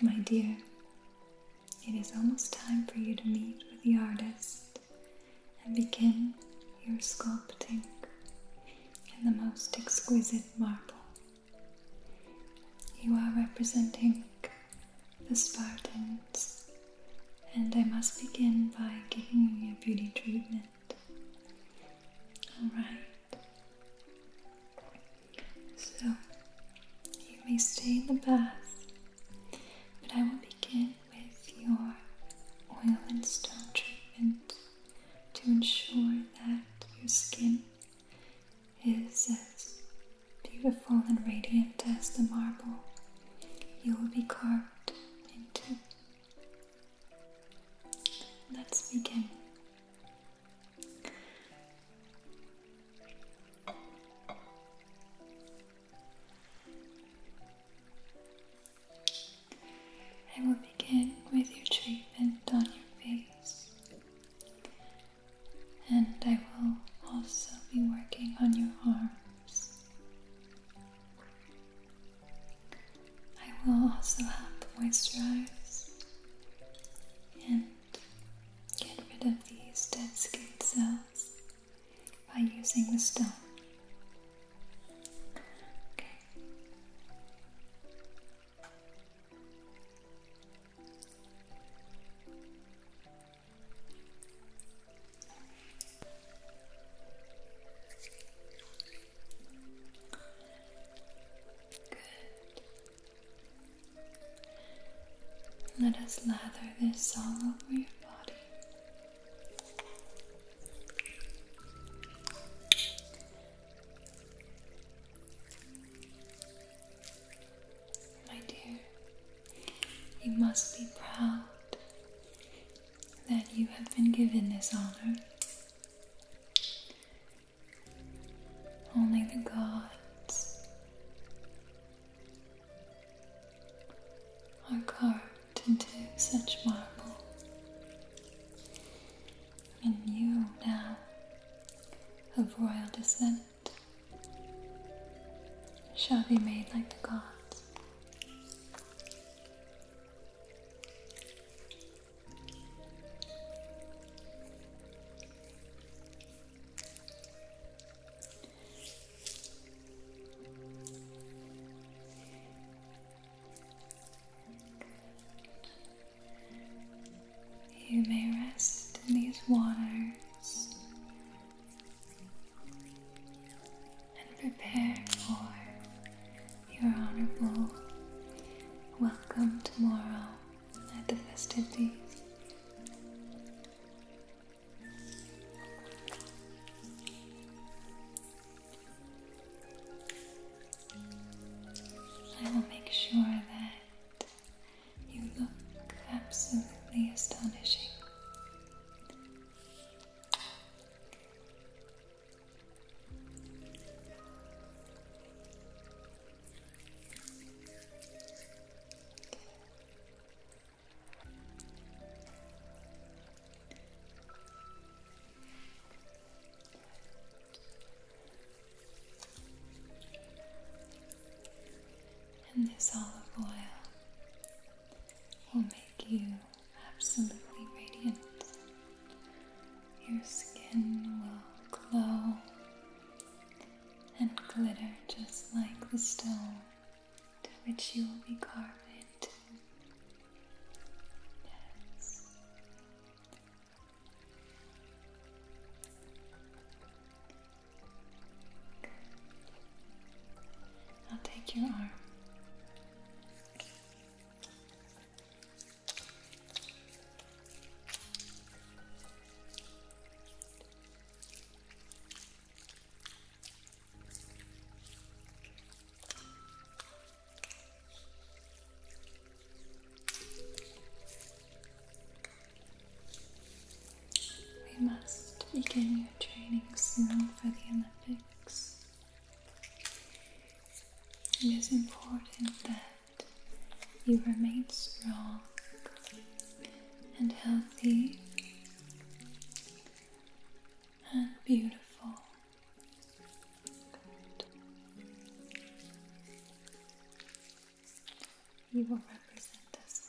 My dear, it is almost time for you to meet with the artist and begin your sculpting in the most exquisite marble. You are representing the Spartans, and I must begin by giving you a beauty treatment. Alright. So, you may stay in the bath, but I will begin with your oil and stone treatment to ensure that your skin is as beautiful and radiant as the marble you will be carved into. Let's begin. I will begin with your treatment on your face, and I will also be working on your arms. I will also help moisturize and get rid of these dead skin cells by using the stone. Okay. Good. Let us lather this all over your body. My dear, you must be proud that you have been given this honor. Only the gods are carved into such marble, and you now, of royal descent, shall be made like the gods. You may rest in these waters and prepare for your honorable welcome tomorrow at the festivities. I will make sure that you look absolutely astonishing. And this olive oil will make you absolutely radiant. Your skin will glow and glitter just like the stone to which you will be carved into. Yes. I'll take your arm. We must begin your training soon for the Olympics. It is important that you remain strong and healthy and beautiful. You will represent us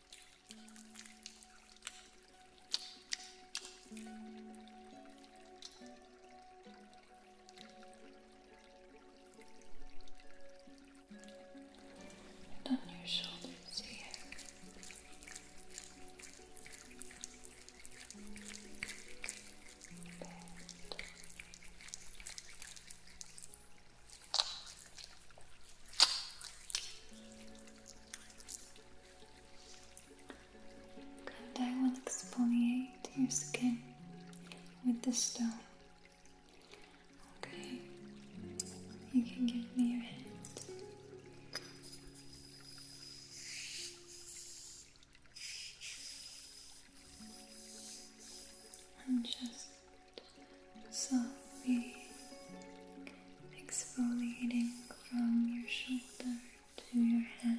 Down your shoulders here. Bend and I will exfoliate your skin with the stone. Okay, you can give me your hand. And just softly exfoliating from your shoulder to your hands.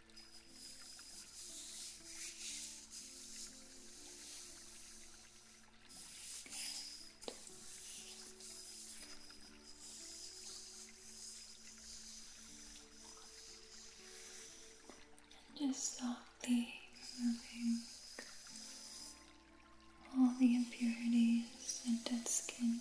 just softly moving all the impurities and dead skin.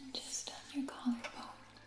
And just on your collarbone.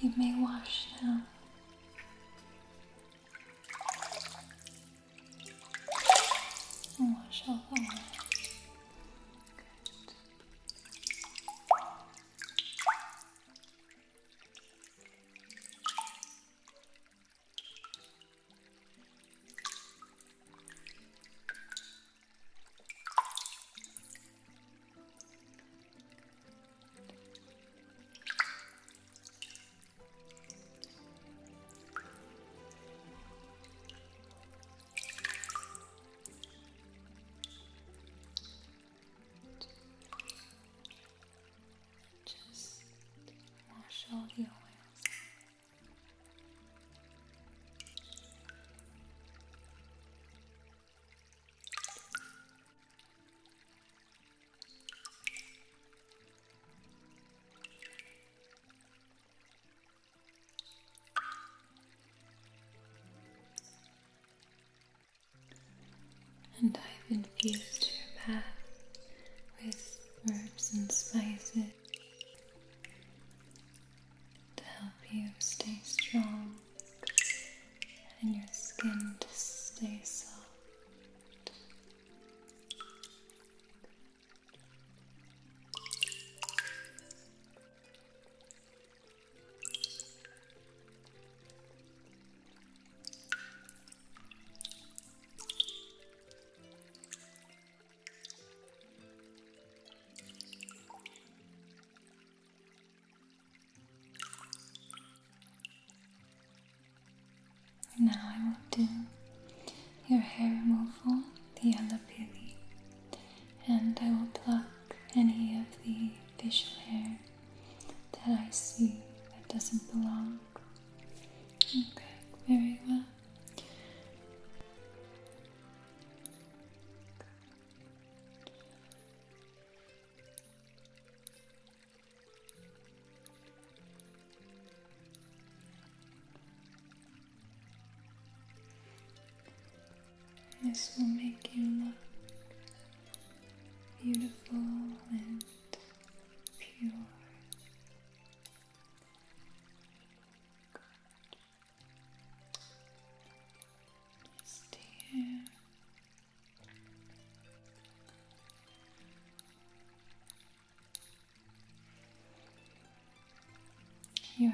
You may wash now. And wash all that. Just wash all the oils. And I've infused your path with herbs and spices to help you stay strong and your skin to stay soft. Now I will do your hair removal, the yellow peely, and I will pluck any of the facial hair that I see that doesn't belong. Okay, very well. This will make you look beautiful and pure. Just here your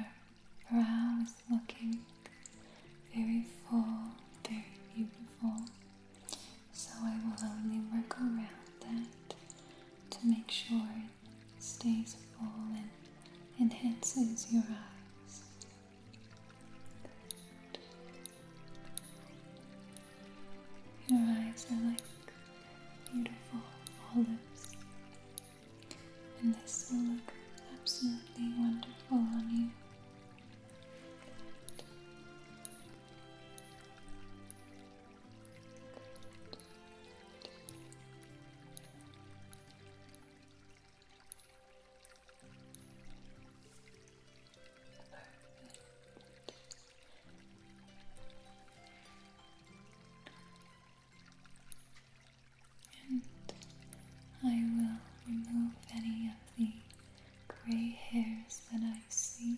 brow is looking very full, very beautiful. So I will only work around that to make sure it stays full and enhances your eyes. Your eyes are like beautiful olives, and this will look absolutely wonderful on you. And I will remove any of the gray hairs that I see.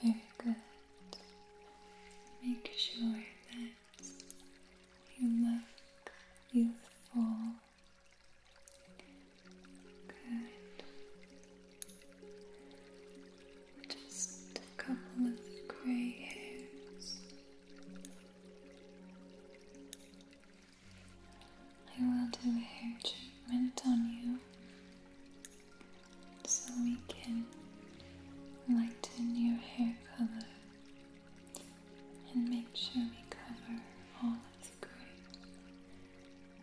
Very good. Make sure that you look youthful Good. Just a couple of grey hairs. I will do a hair treatment on you so we can lighten your hair color and make sure we cover all of grey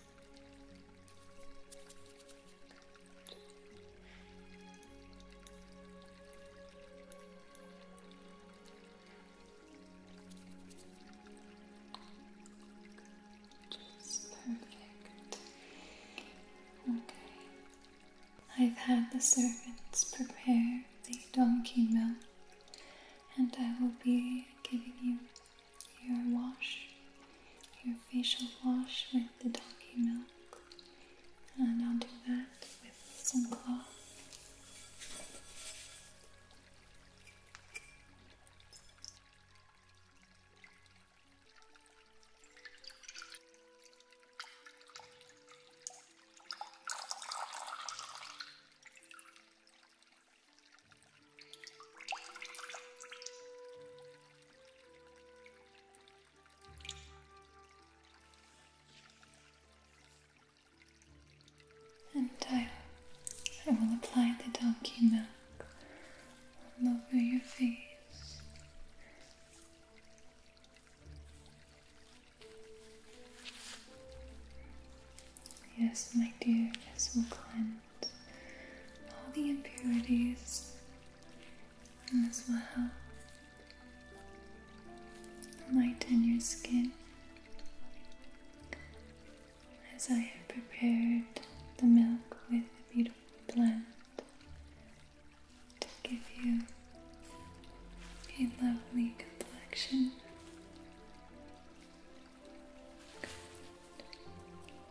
Just perfect. Okay. I've had the servants prepare the donkey milk, and I will be giving you your wash, your facial wash with the donkey milk, and I'll do that with some cloth. And I, will apply the donkey milk all over your face. Yes, my dear, this will cleanse all the impurities, and this will help lighten your skin. As I have prepared the milk with a beautiful blend to give you a lovely complexion.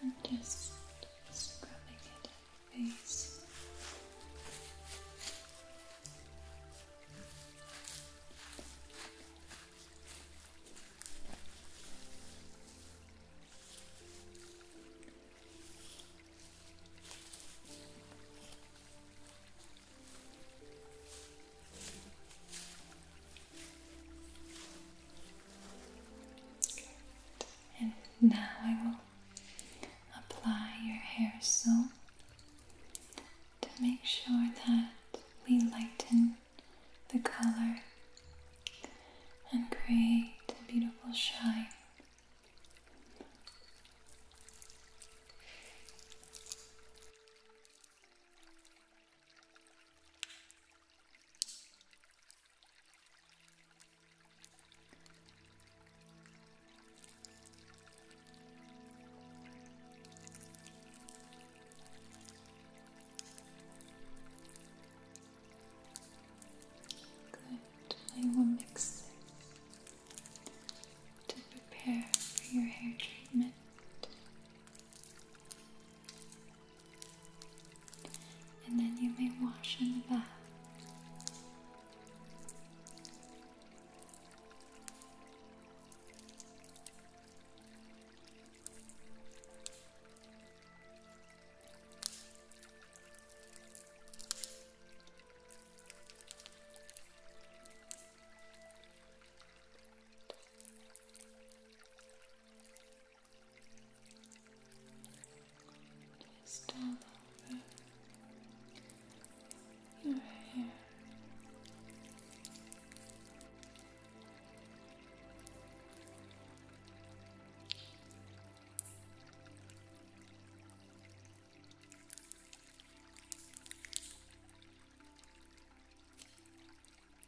I'm just scrubbing it face. And now I will apply your hair soap to make sure that we lighten the color and create a beautiful shine. Good. I will mix it to prepare for your hair treatment and then you may wash in the bath. Just all over your hair.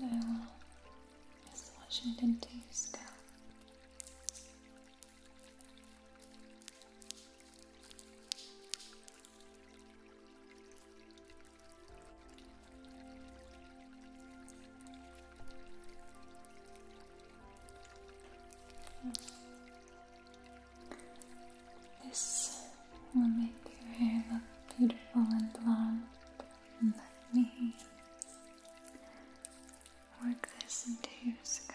Now, just washing it into your scalp. This will make your hair look beautiful and blonde. And let me work this into your scalp.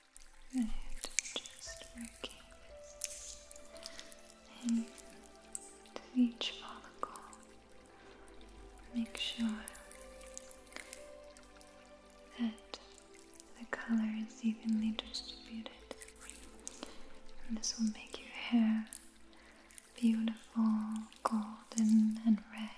and just working in to each follicle. Make sure that the color is evenly distributed. And this will make your hair beautiful, golden, and red.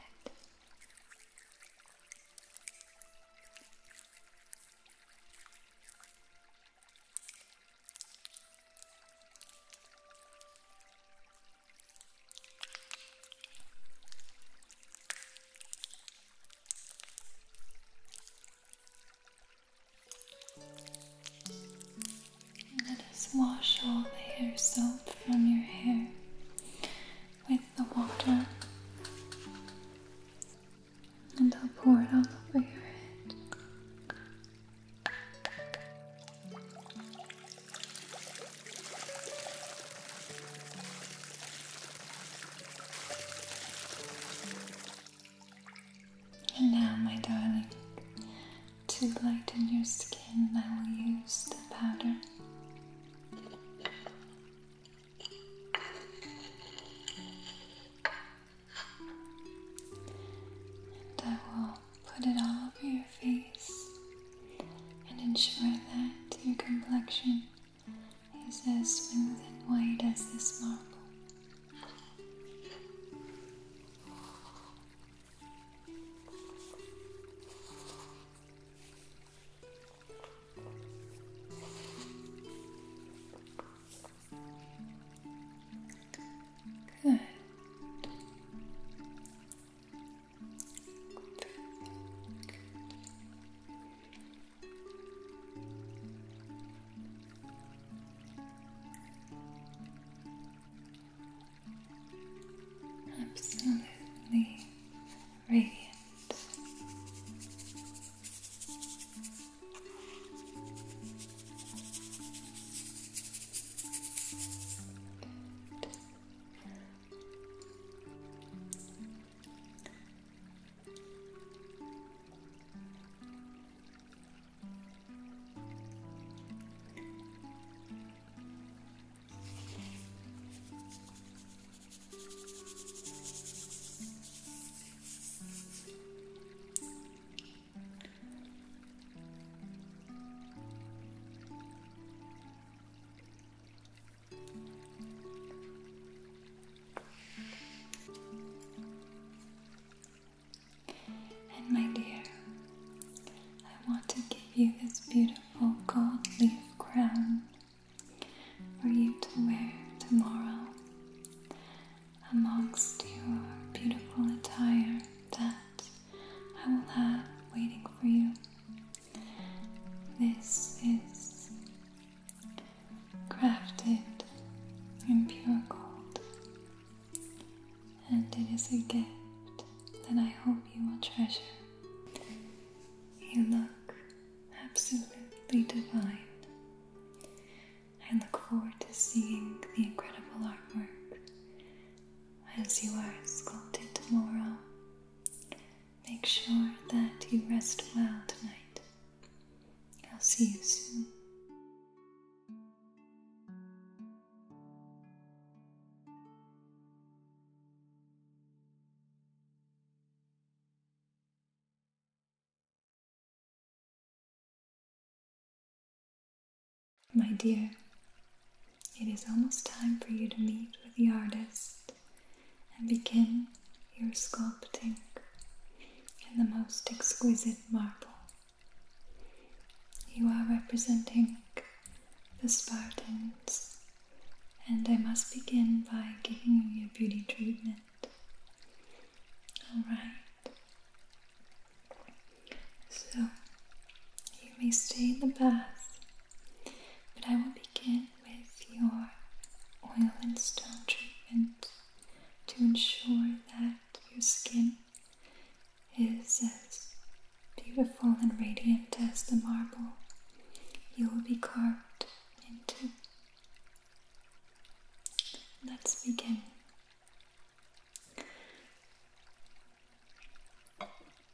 Let us wash all the hair soap from your hair with the water and I'll pour it all over your head. And now, my darling, to lighten your skin, I will use the powder. And I will put it all over your face and ensure that your complexion is as smooth and white as this marble. Good. Absolutely radiant. And my dear, I want to give you this beautiful gold leaf crown for you to wear tomorrow amongst your beautiful attire that I will have waiting for you. This is crafted in pure gold, and it is a gift that I hope you will treasure. You look absolutely divine. I look forward to seeing the incredible artwork as you are sculpted tomorrow. Make sure that you rest well tonight. I'll see you soon. My dear, it is almost time for you to meet with the artist and begin your sculpting in the most exquisite marble. You are representing the Spartans, and I must begin by giving you a beauty treatment. Alright. So, you may stay in the bath, but I will begin with your oil and stone treatment to ensure that your skin is as beautiful and radiant as the marble you will be carved into. Let's begin.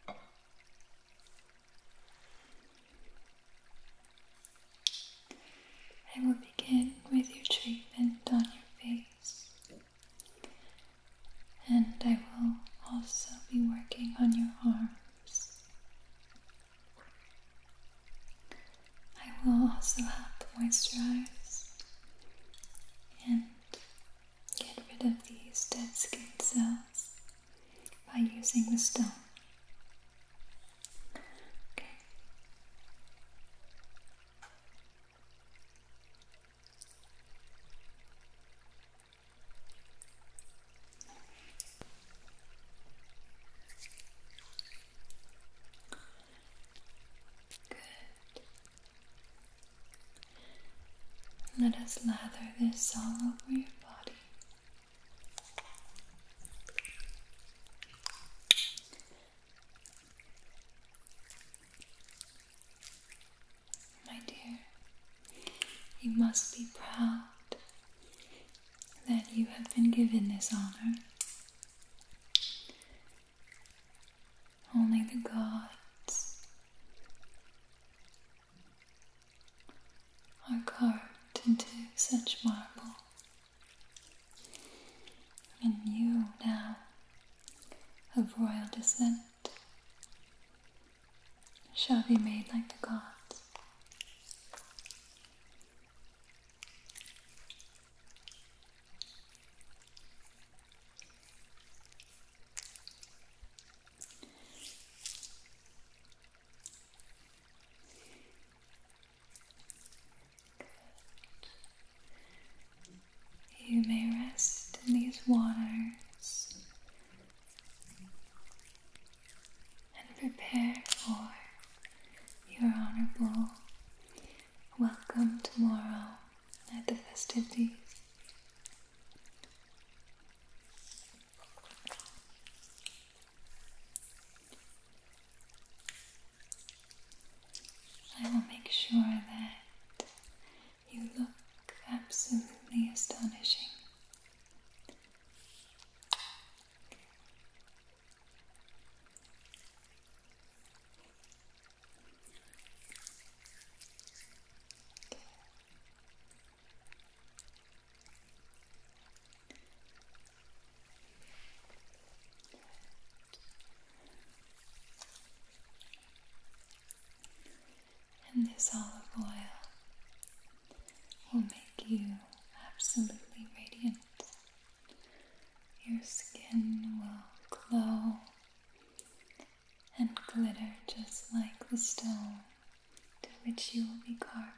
I will begin with your treatment on your face, and I will also be working on your arms. I will also help moisturize and get rid of these dead skin cells by using the stone. Okay. Good. Let us lather this all over your body. My dear, you must be proud that you have been given this honor. Only the gods are carved into such marble. And you now, of royal descent, shall be made like the gods. You may rest in these waters and prepare for your honorable welcome tomorrow at the festivities. I will make sure that you look absolutely astonishing. And this olive oil will make you absolutely radiant. Your skin will glow and glitter just like the stone to which you will be carved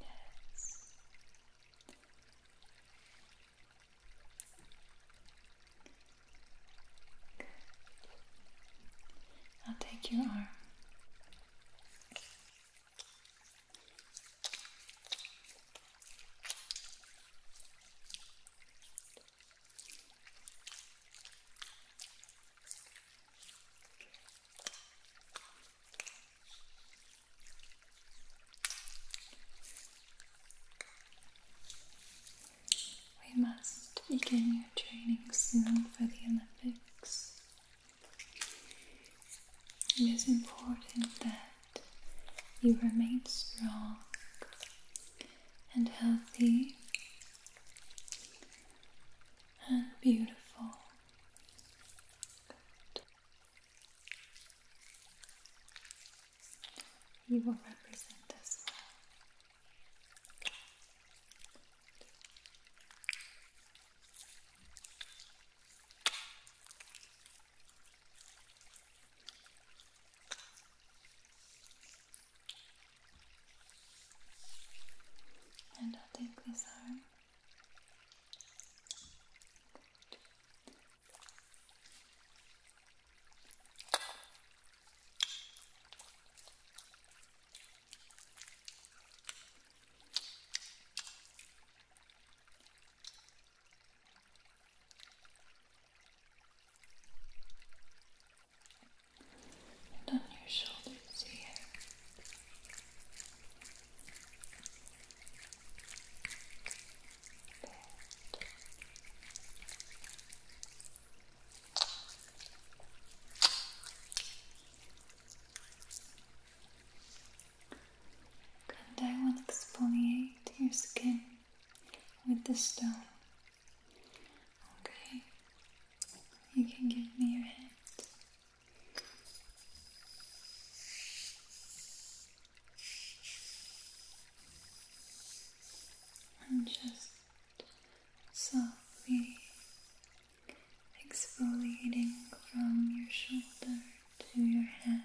Yes. I'll take your arm. We must begin your training soon for the Olympics. It is important that you remain strong and healthy and beautiful. You will represent us And I'll take this arm. Good. And on your shoulders here. Good. And I will exfoliate your skin with the stone. Okay, you can give me your hand. And just softly exfoliating from your shoulder to your hands.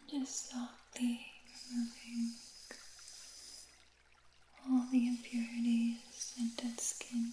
And just softly removing all the impurities and dead skin.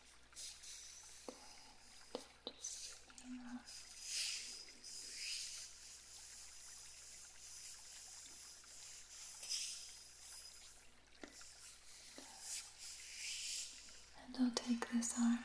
Good. Just mirror. And I'll take this arm. Good. Good.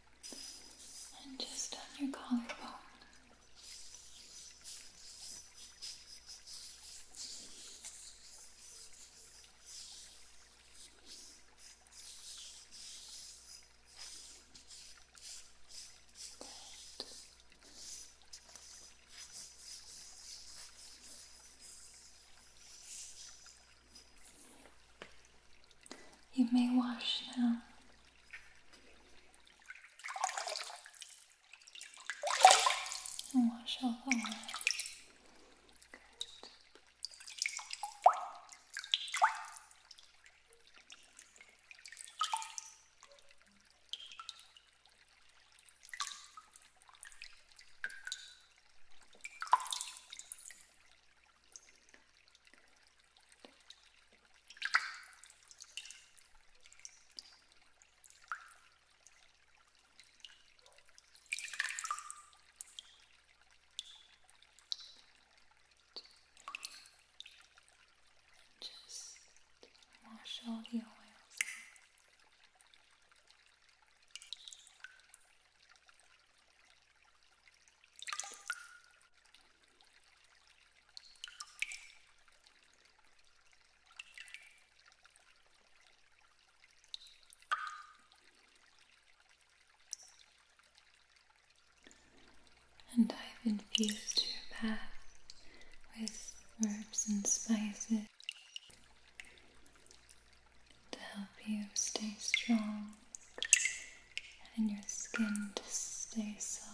and just on your collarbone. You may wash now. And wash all away. Good. Good. Just wash all the oils out. And I've infused your path with herbs and spices to help you stay strong and your skin to stay soft.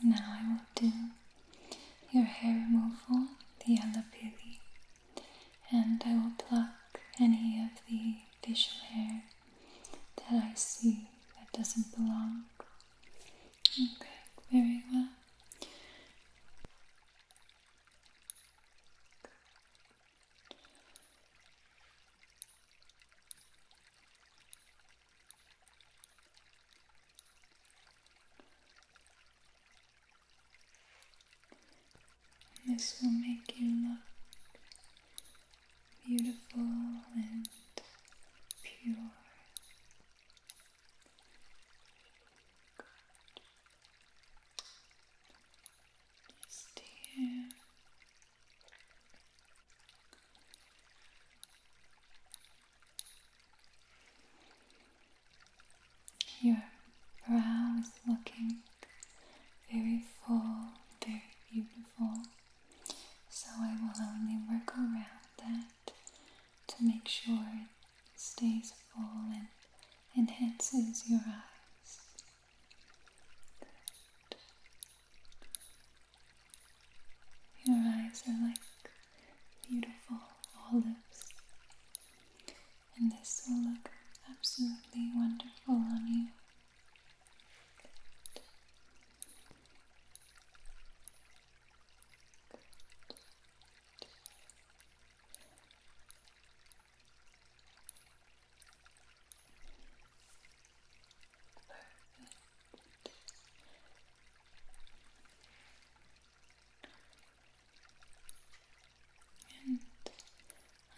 Now I will do your hair removal, the alapili, and I will pluck any of the facial hair that I see that doesn't belong. Okay, very well. This will make you look beautiful and pure. Just here your brow is looking very full, very beautiful. So I will only work around that to make sure it stays full and enhances your eyes. Your eyes are like beautiful olives, and this will look absolutely wonderful on you.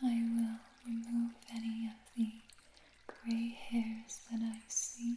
And I will remove any of the gray hairs that I see.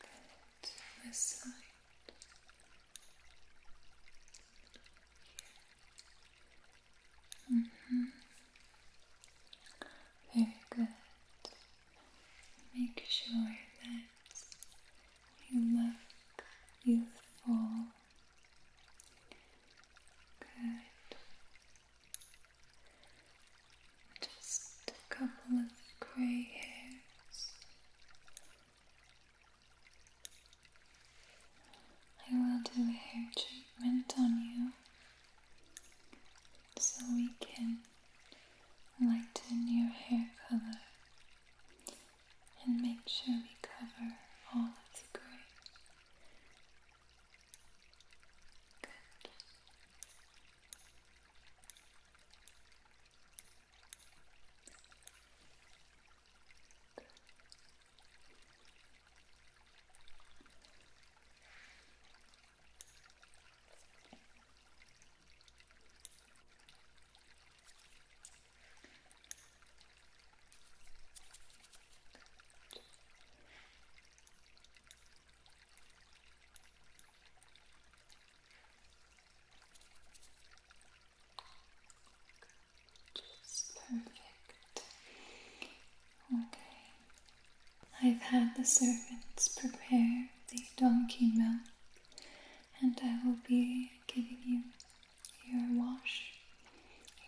Good. This side. Mm -hmm. Very good. Make sure that you look youthful Good. Just a couple of grey hairs. I will do a hair treatment on you so we can lighten your hair color and make sure we cover all of the gray. Good. Perfect. Okay. I've had the servants prepare the donkey milk, and I will be giving you your wash,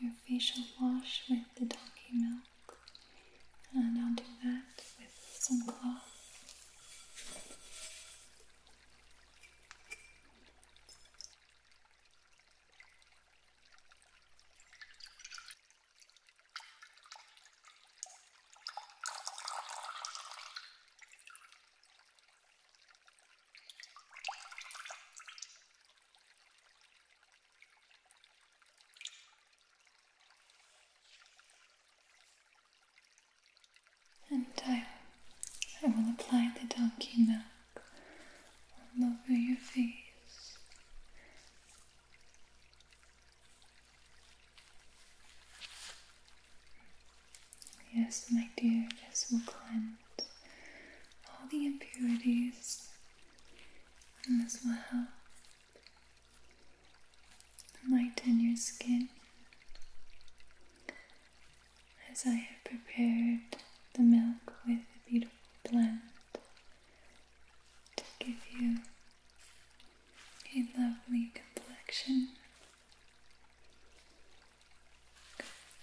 your facial wash with the donkey milk, and I'll do that with some cloth. And I, I will apply the donkey milk all over your face. Yes, my dear, this will cleanse all the impurities, in this world help lighten your skin. As I have prepared the milk with a beautiful blend to give you a lovely complexion.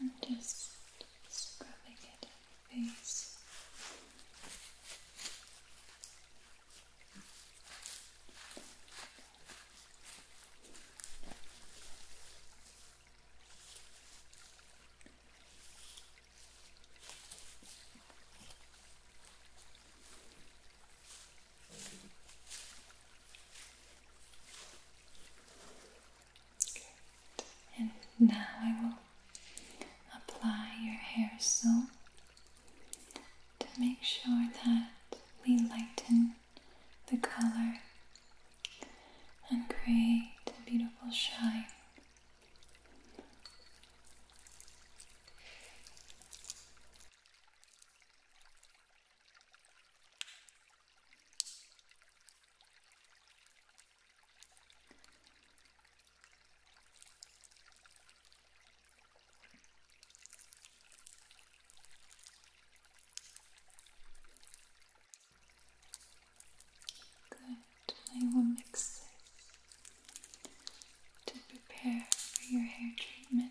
And just scrubbing it in your face. And now I will apply your hair soap to make sure that we lighten the color and create a beautiful shine. Good, I will mix this to prepare for your hair treatment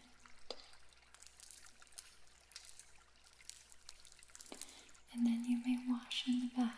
and then you may wash in the bath.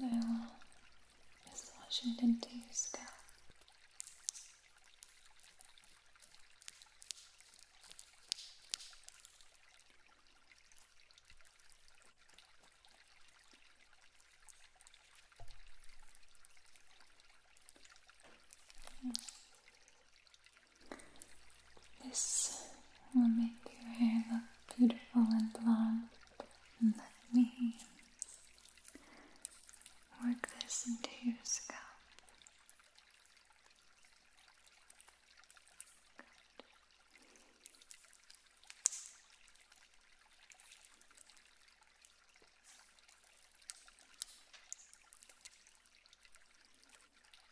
and I will massage it into This will make your hair look beautiful and blonde. And let me work this into your scalp.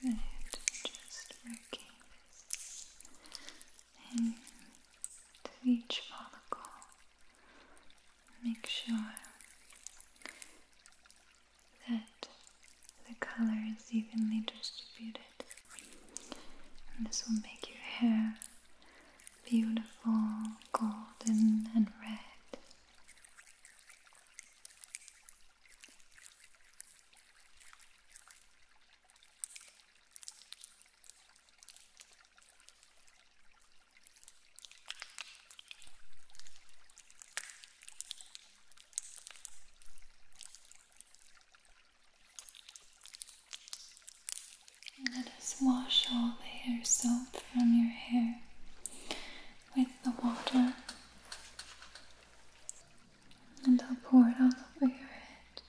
Good. Just working this into each follicle. Make sure that the color is evenly distributed. And this will make your hair beautiful, golden, and red. Let us wash all the hair soap from your hair with the water, and I'll pour it all over your head.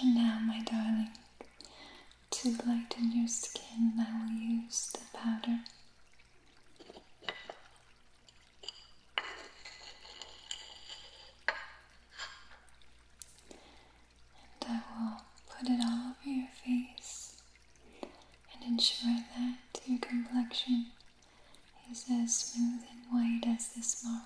And now, my darling, to lighten your skin, I will use the powder and I will put it all over your face and ensure that your complexion is as smooth and white as this marble.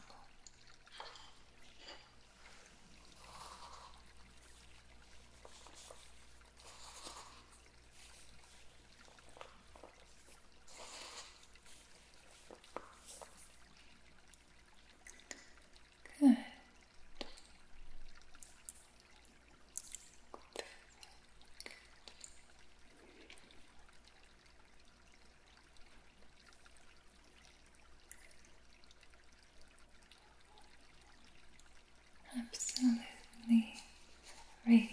Absolutely radiant.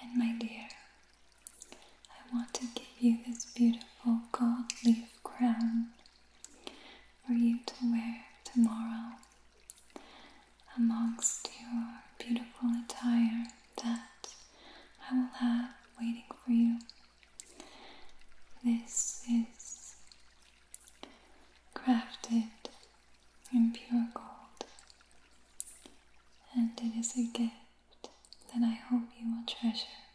And my dear, I want to give you this beautiful gold leaf crown for you to wear tomorrow amongst your beautiful attire that I will have waiting for you. This is crafted in pure gold, and it is a gift that I hope you will treasure.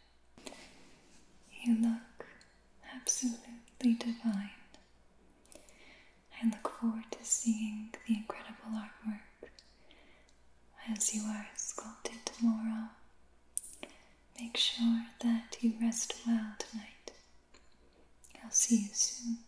You look absolutely divine. I look forward to seeing the incredible artwork as you are sculpted tomorrow. Make sure that you rest well tonight. I'll see you soon.